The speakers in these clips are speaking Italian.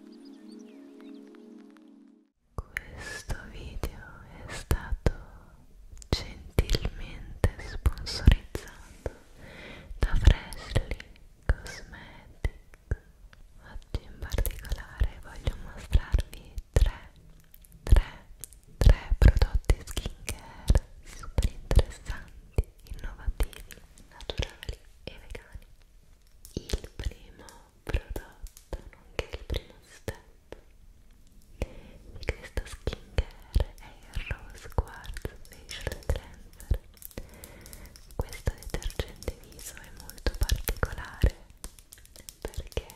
Questo video è stato gentilmente sponsorizzato da Freshly Cosmetics. Oggi in particolare voglio mostrarvi tre 3 prodotti skincare super interessanti, innovativi, naturali e vegani. Il primo prodotto, nonché il primo step di questo skincare è il Rose Quartz Facial Cleanser. Questo detergente viso è molto particolare perché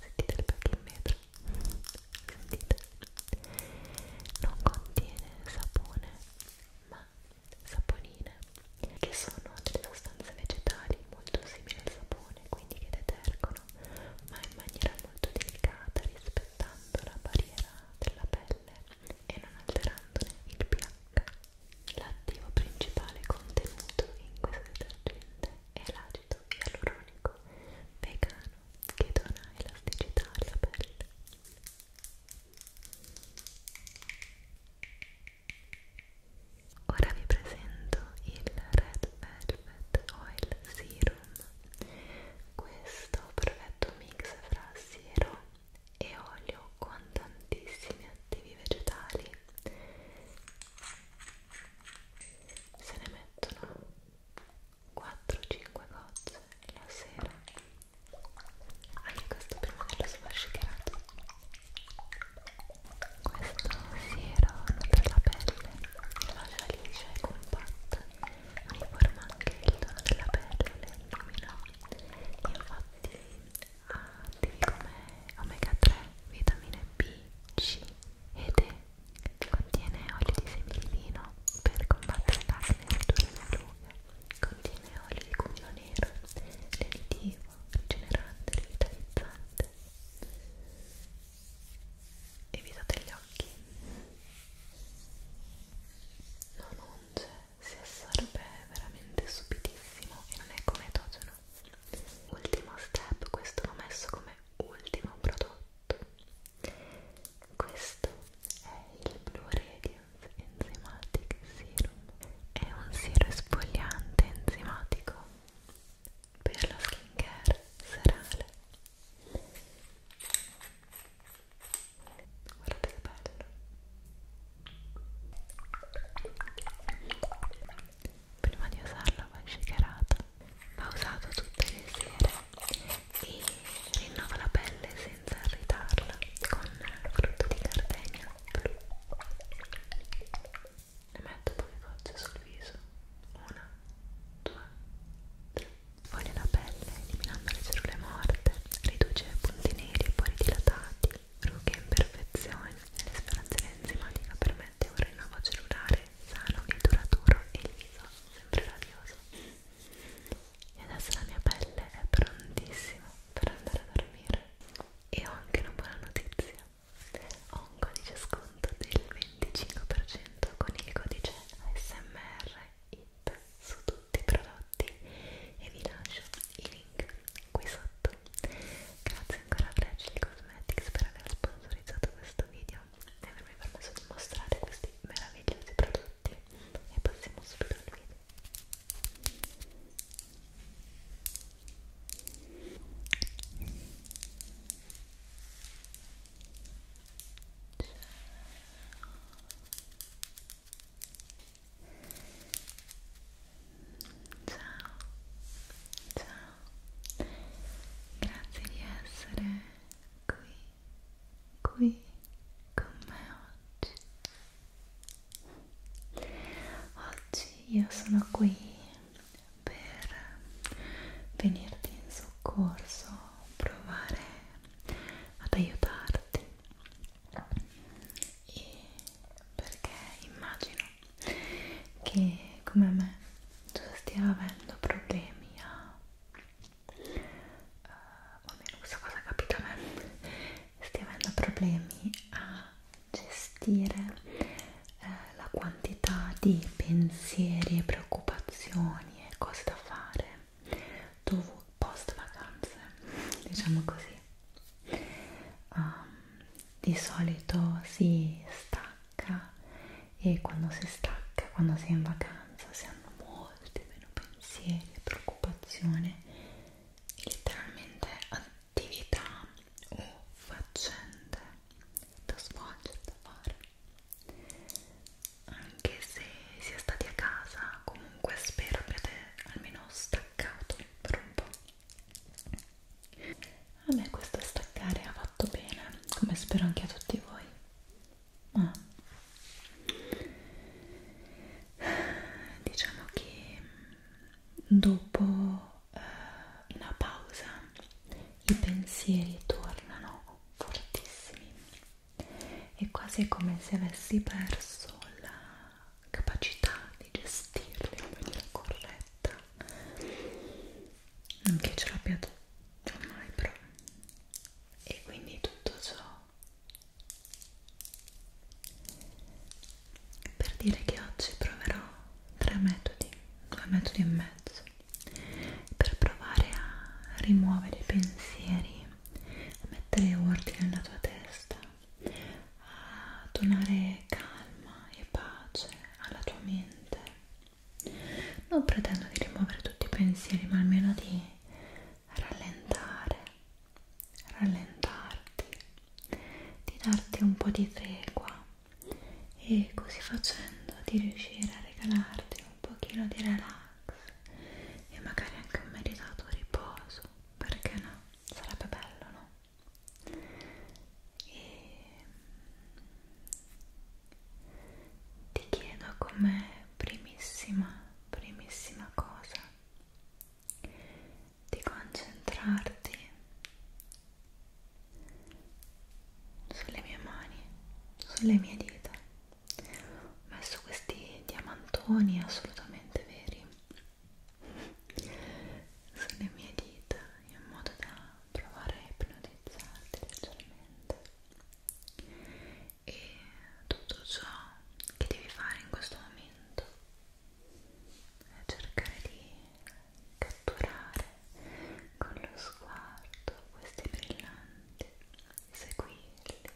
sentite il back in vetro sentite non contiene sapone ma saponine che sono delle sostanze vegetali molto simili al sapone quindi che detergono ma in maniera molto delicata rispettando la barriera della pelle e non alterandone il pH l'attivo principale contenuto in questo detergente è l'acido ialuronico vegano che dona elasticità alla pelle ora vi presento il Red Velvet Oil Serum questo perfetto mix fra siero e olio con tantissimi attivi vegetali se ne mettono 4-5 gocce la sera anche questo prima dello sfascicerato questo siero per la pelle lascia liscia e compatta uniforma anche il tono della pelle e illumina infatti ha ah, attivi come omega 3, vitamine B, C ed è, contiene olio di semi di lino per combattere l'acne e ridurre le rughe, contiene olio di cugno nero, lenitivo, rigenerante, rivitalizzante evitate gli occhi non unge, si assorbe veramente subitissimo e non è cometotono ultimo step, questo l'ho messo come ultimo prodotto questo è il Blue Radiance Enzymatic Serum è un siero esfoliante enzimatico per la skincare serale guardate che bello prima di usarlo va shakerata pausato tutte le sere e rinnova la pelle senza irritarla con il frutto di gardenia blu ne metto poche gocce sul viso una, due, tre foglia la pelle eliminando le cellule morte riduce punti neri e pori dilatati rughe e imperfezioni l'esferazione enzimatica permette permette un rinnovo cellulare sano e duraturo e liso, sempre radioso. E adesso la mia pelle è prontissima per andare a dormire. E ho anche una buona notizia. Ho un codice sconto del 25% con il codice ASMRIT su tutti i prodotti e vi lascio i link qui sotto. Grazie ancora a Fragile Cosmetics per aver sponsorizzato questo video di avermi permesso di mostrare questi meravigliosi prodotti e passiamo subito al video Ciao, ciao, grazie di essere qui, qui con me oggi. Oggi io sono qui per venirti in soccorso, provare ad aiutarti e perché immagino che come me tu stia avendo problemi a uh, almeno questa cosa è capita a me stia avendo problemi a gestire eh, la quantità di pensieri e preoccupazioni e cose da fare dopo post vacanze diciamo così um, di solito si stacca stacca e quando si stacca, quando si è in vacanza, si hanno molti meno pensieri e preoccupazioni e letteralmente attività o faccende da svolgere, da fare anche se si è stati a casa comunque spero abbiate almeno staccato per un po' a me questo staccare ha fatto bene come spero anche a tutti voi ma diciamo che dopo eh, una pausa i pensieri tornano fortissimi è quasi come se avessi perso la capacità di gestirli in maniera corretta non che ce l'abbia ormai però e quindi tutto ciò per dire che oggi proverò tre metodi due metodi e mezzo per provare a rimuovere i pensieri a mettere ordine nella tua testa a donare calma e pace alla tua mente non pretendo di rimuovere tutti i pensieri ma almeno di rallentare rallentarti di darti un po' di tregua e così facendo di riuscire a regalarti un pochino di relax e magari anche un meritato riposo perché no? sarebbe bello no? e ti chiedo come primissima, primissima cosa di concentrarti sulle mie mani, sulle mie dita. Ho messo questi diamantoni assolutamente veri sulle mie dita in modo da provare a ipnotizzarti leggermente e tutto ciò che devi fare in questo momento è cercare di catturare con lo sguardo questi brillanti, di seguirli,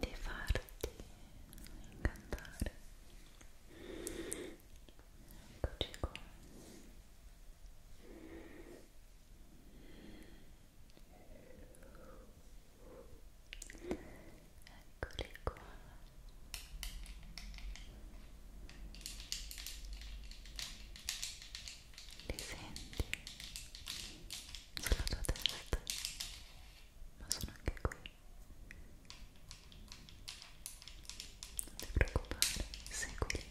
di farti incantare. Eccoci qua. Eccoli qua. Li senti sulla tua testa, ma sono anche qui. Non ti preoccupare, seguili. Seguili.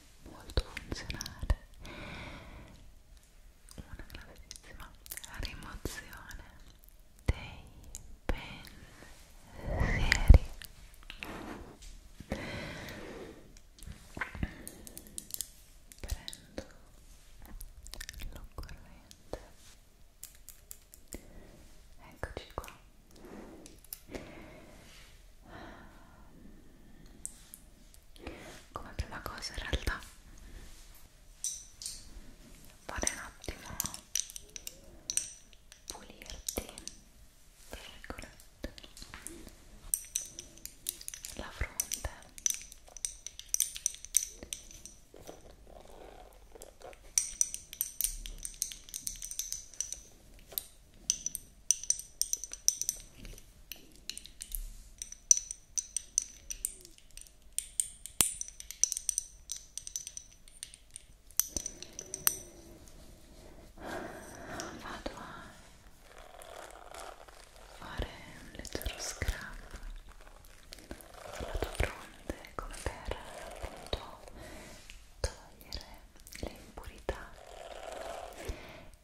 molto funzionale una grandissima rimozione dei pensieri prendo l'occorrente eccoci qua come prima cosa in realtà vale un attimo pulirti la fronte Vado a fare un leggero scrub sulla tua fronte come per appunto togliere le impurità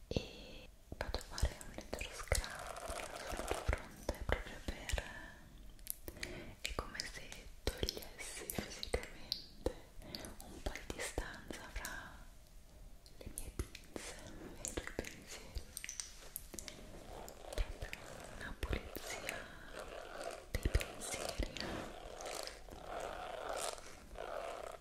e vado a fare un leggero scrub sulla tua fronte proprio per è come se togliessi fisicamente un po' di distanza fra le mie pinze e i tuoi pensieri proprio una pulizia dei pensieri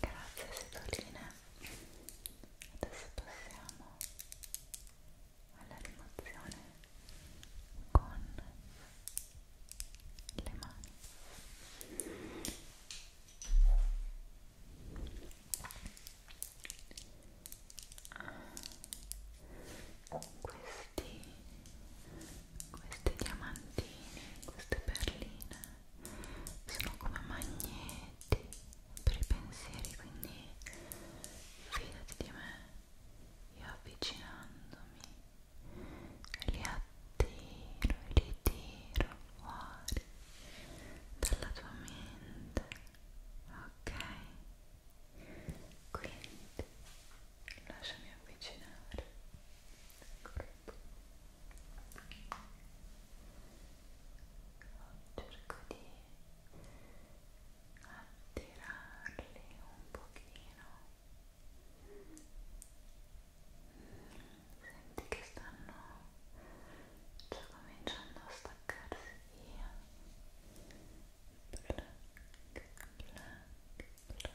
Grazie Setolina. Adesso passiamo alla rimozione con le mani. Questi questi diamantini, queste perline sono come magneti per i pensieri, quindi fidati di me, io avvicinandomi li attiro e li tiro fuori dalla tua mente, ok? Quindi lasciami avvicinare corpo cerco di attirarli un pochino senti che stanno già cominciando a staccarsi via black, black, black, black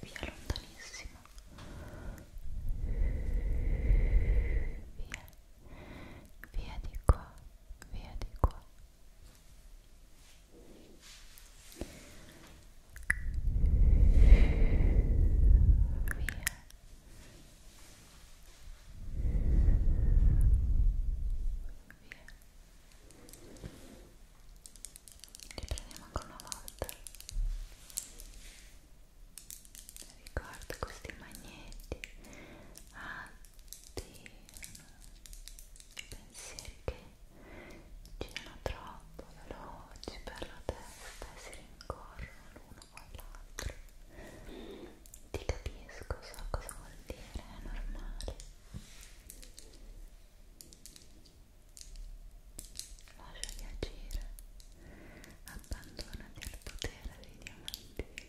via lontanissimo via via di qua via di qua via Via riprendiamo ancora una volta ricorda questi magneti attirano i pensieri che girano troppo veloci per la testa e si rincorrono l'uno con l'altro ti capisco, so cosa vuol dire, è normale lasciati agire abbandonati al potere dei diamanti Ecco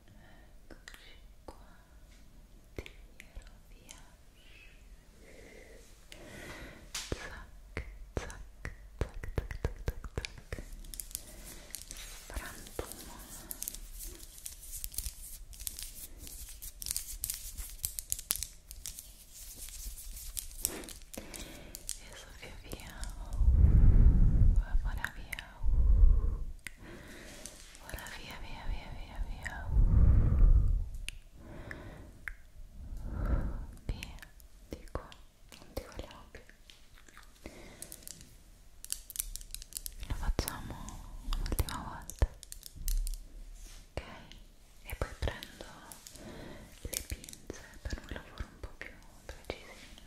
Eccoci qua, tiro via zac, zac, zac, zac, zac, zac, frantumo e sono e via oh, vola via oh. vola via via via via via oh. via dico non ti vogliamo più lo facciamo un'ultima volta ok e poi prendo le pinze per un lavoro un po' più preciso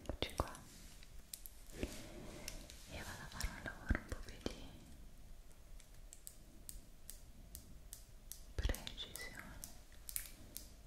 Eccoci qua. Io vado a fare un lavoro un po' più di precisione. Ecco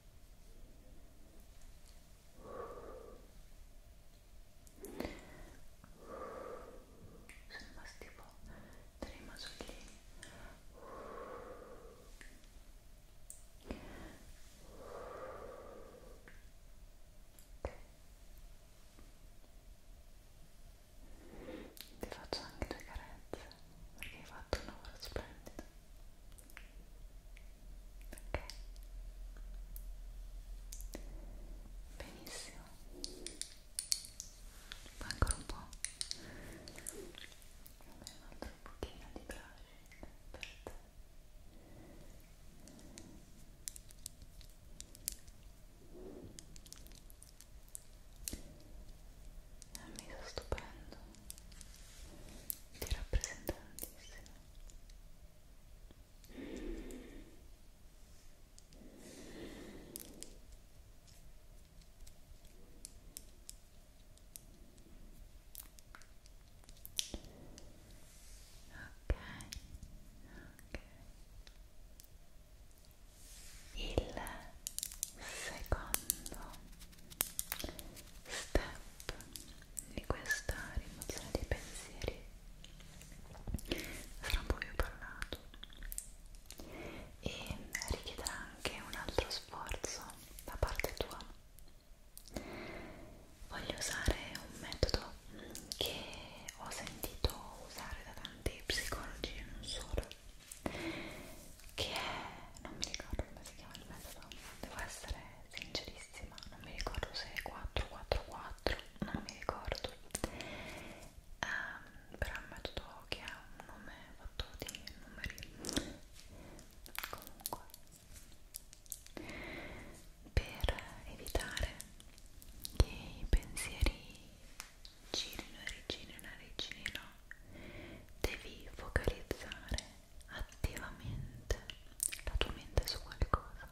sono rimasti tipo tre masollini okay. ti faccio anche due carezze perché hai fatto un lavoro splendido ok benissimo poi ancora un po' vabbè un altro pochino di blush per te è un viso stupendo ti rappresenta tantissimo ok ok il secondo step di questa rimozione dei pensieri sarà un po' più parlato e richiederà anche un altro sforzo da parte tua voglio usare un metodo che ho sentito usare da tanti psicologi e non solo che è, non mi ricordo come si chiama il metodo, devo essere sincerissima, non mi ricordo se è 444, non mi ricordo, um, però è un metodo che ha un nome fatto di numeri, comunque, per evitare che i pensieri girino e rigirino e rigirino devi focalizzare attivamente la tua mente su qualcosa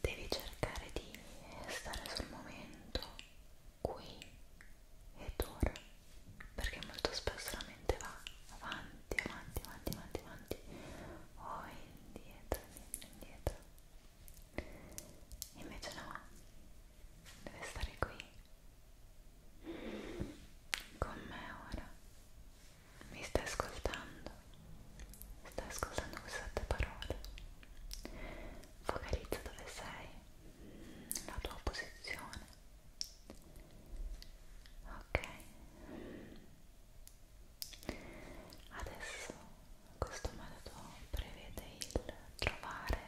devi cercare di stare sul momento qui ed ora perché molto spesso la mente va avanti avanti avanti avanti avanti o indietro indietro indietro invece no deve stare qui con me ora mi stai ascoltando stai ascoltando queste parole focalizza dove sei la tua posizione ok adesso questo metodo prevede il trovare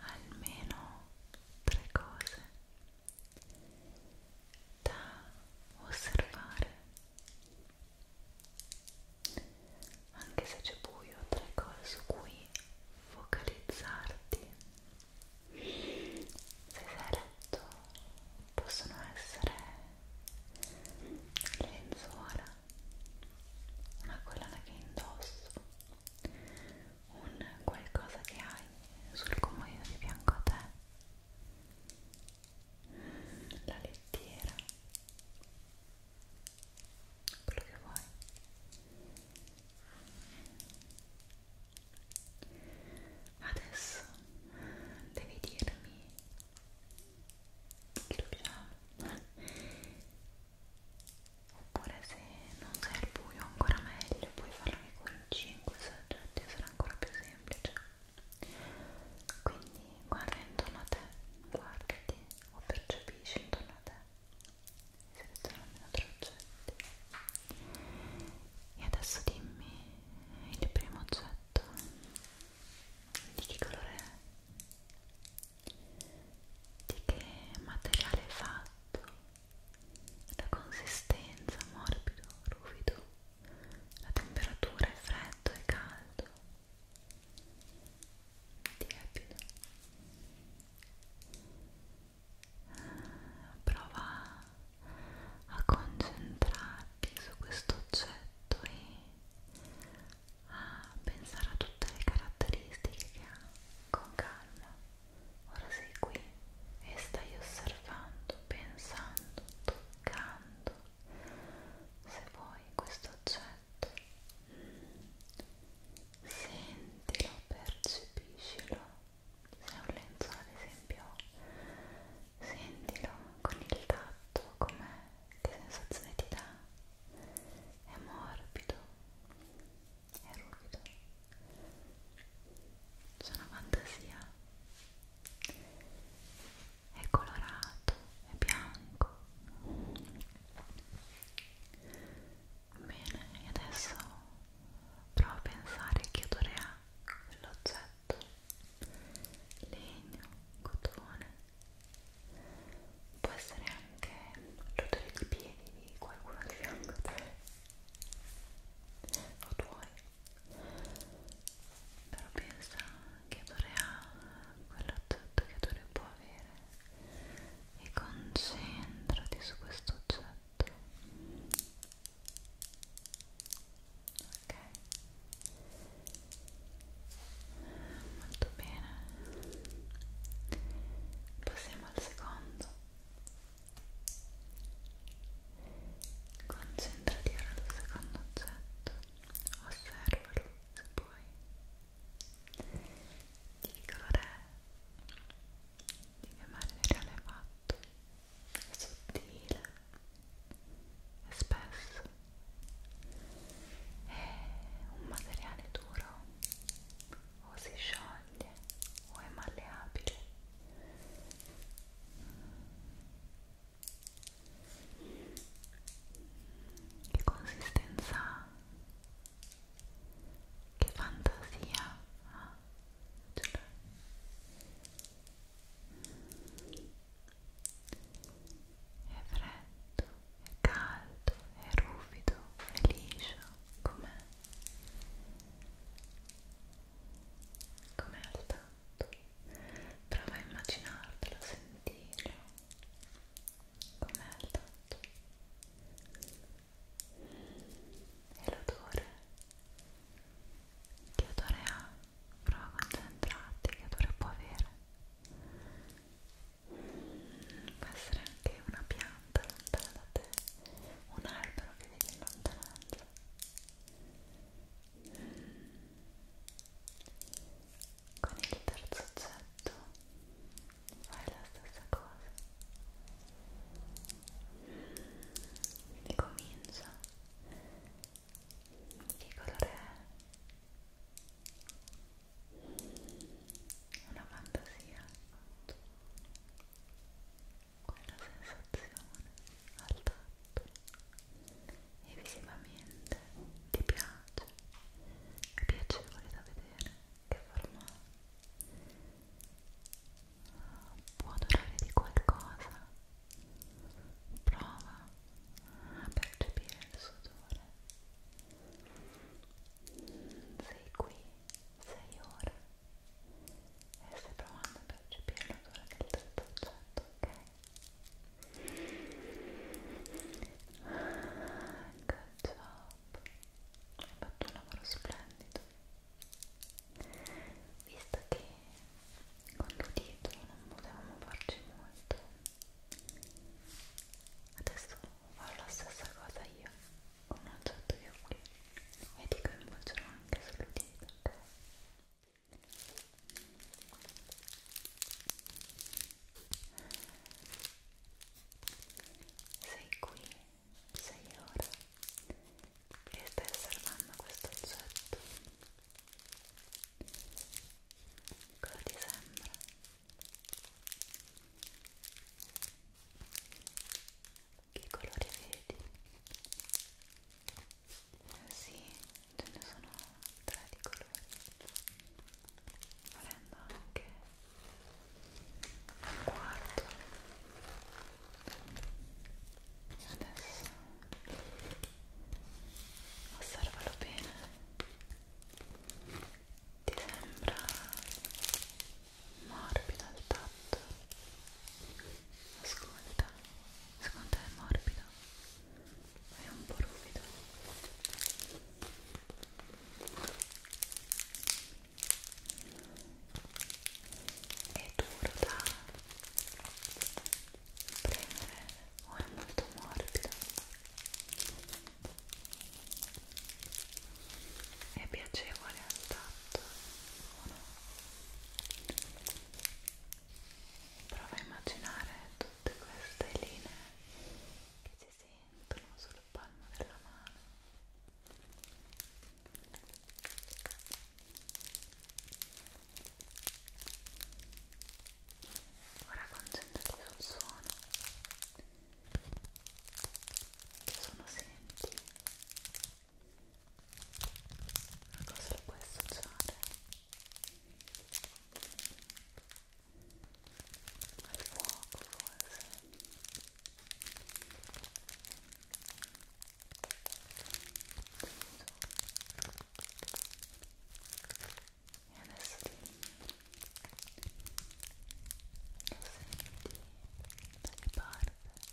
almeno tre cose da osservare anche se c'è buio tre cose su cui focalizzarti se sei a letto possono essere le lenzuola una collana che indosso un qualcosa che hai sul comodino di fianco a te la lettiera quello che vuoi adesso devi dirmi che lo piano oppure se non sei al buio ancora meglio puoi farlo anche con 5 soggetti sarà ancora più semplice quindi guarda intorno a te guardati o percepisci intorno a te seleziona almeno tre oggetti e adesso dimmi il primo oggetto di che colore è di che materiale è fatto la consistenza morbido, ruvido, la temperatura è freddo e caldo, tiepido. Prova a concentrarti su questo oggetto e a pensare a tutte le caratteristiche che ha con calma, ora sei qui e stai osservando, pensando, toccando se vuoi questo oggetto sentilo, percepiscilo se è un lenzo ad esempio sentilo con il tatto com'è, che sensazione ti dà è morbido è ruvido c'è una fantasia è colorato è bianco bene e adesso provo a pensare che odore ha quell'oggetto legno cotone può essere anche l'odore di piedi di qualcuno di fianco a te o tuoi però pensa che odore ha quell'oggetto che odore può avere e concentrati su questo oggetto ok molto bene passiamo al secondo Concentrati ora sul secondo oggetto, osservalo se puoi. Di che colore è? Di che materiale è fatto? È sottile? È spesso? È un materiale duro? O si scioglie? maglie o è malleabile che consistenza ha che fantasia ha cioè, è freddo, è caldo, è ruvido, è liscio, com'è? com'è al tatto prova a immaginartelo, a sentirlo com'è al tatto e l'odore che odore ha? prova a concentrarti che odore può avere può essere anche una pianta pianta lontana da te, un albero che vedi in lontananza. Con il terzo oggetto fai la stessa cosa. Quindi comincia. Che colore è? Una fantasia quella sensazione al tatto e visivamente ti piace, è piacevole da vedere, che forma può dorare di qualcosa, prova a percepire il sudore sei qui 6 ore e stai provando a percepire l'odore del tetto oggetto, ok? Good job! Hai fatto un lavoro splendido visto che con l'udito non potevamo farci molto adesso farò la stessa cosa io ho mangiato io qui e dico che mangerò anche solo di perché sei qui, sei ora e stai osservando questo oggetto cosa ti sembra? Che colore vedi? Ah, sì, ce ne sono tre di colori. Volendo anche un quarto. E adesso osservalo bene. Ti sembra morbida al tatto ascolta secondo te è morbido? è un po' ruvido è duro da prendere o è molto morbido è piacevole al tatto o no? prova a immaginare tutte queste linee che si sentono sul palmo della mano ora concentrati sul suono che sono senti a cosa lo puoi associare? al fuoco forse? e adesso ti lo senti da che parte?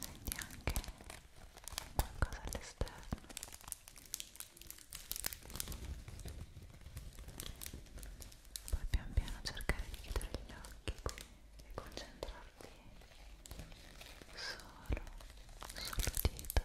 senti anche qualcosa all'esterno poi pian piano cercare di chiudere gli occhi e concentrarti solo sull'udito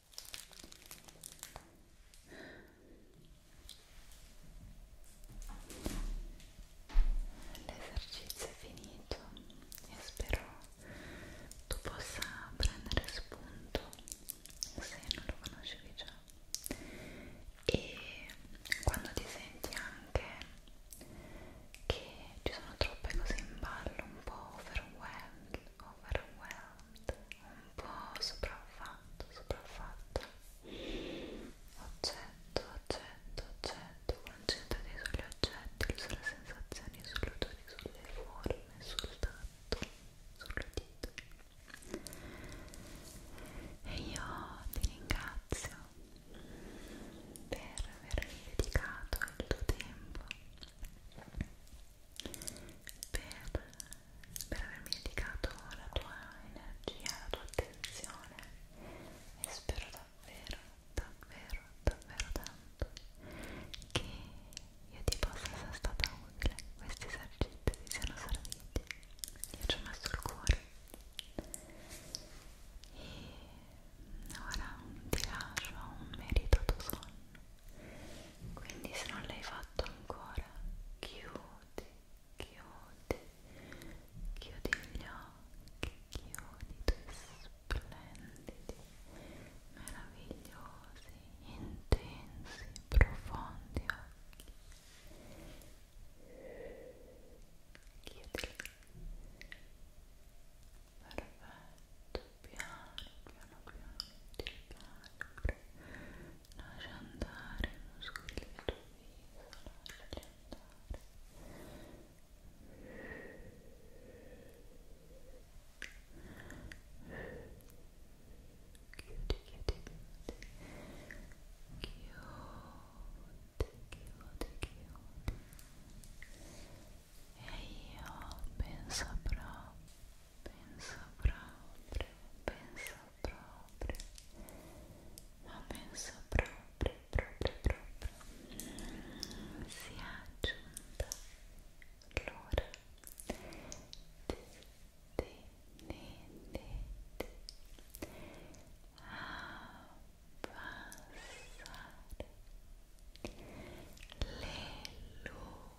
l'esercizio è finito e spero tu possa prendere spunto se non lo conoscevi già e quando ti senti anche che ci sono troppe cose in ballo un po' overwhelmed overwhelmed un po' sopraffatto, sopraffatto oggetto, oggetto, oggetto concentrati sugli oggetti, sulle sensazioni, sull'odore, sulle forme, sul tatto, sulle dita e io ti ringrazio per avermi dedicato il tuo tempo per, per avermi dedicato la tua energia, la tua attenzione e spero davvero, davvero, davvero tanto che io ti possa essere stata utile, questi esercizi ti siano serviti, io ci ho messo il cuore e ora ti lascio un meritato sonno quindi se non l'hai fatto ancora chiudi chiudi chiudi gli occhi chiudi i tuoi splendidi meravigliosi intensi profondi occhi chiudi perfetto piano piano piano ti rilassare lascia andare i muscoli del tuo viso lasciali andare chiudi chiudi chiudi chiudi chiudi chiudi e io penso proprio penso proprio, penso proprio, ma penso proprio, proprio, proprio, sia giunta l'ora di, di, di, di, di abbassare le luci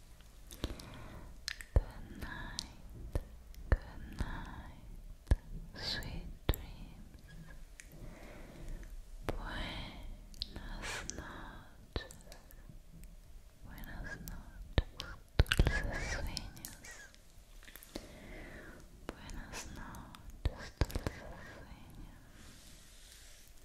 Good night, good night, sweet dreams. Buenas noches, buenas noches, dulces sueños. Buenas noches, dulces sueños.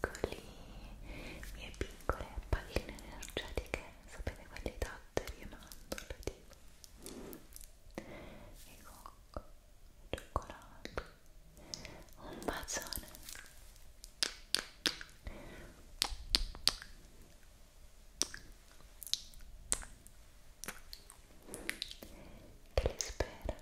piccoli, mie piccole palline energetiche, sapete quelli tatteri e mandorle tipo e cocco, cioccolato un bacione che li spera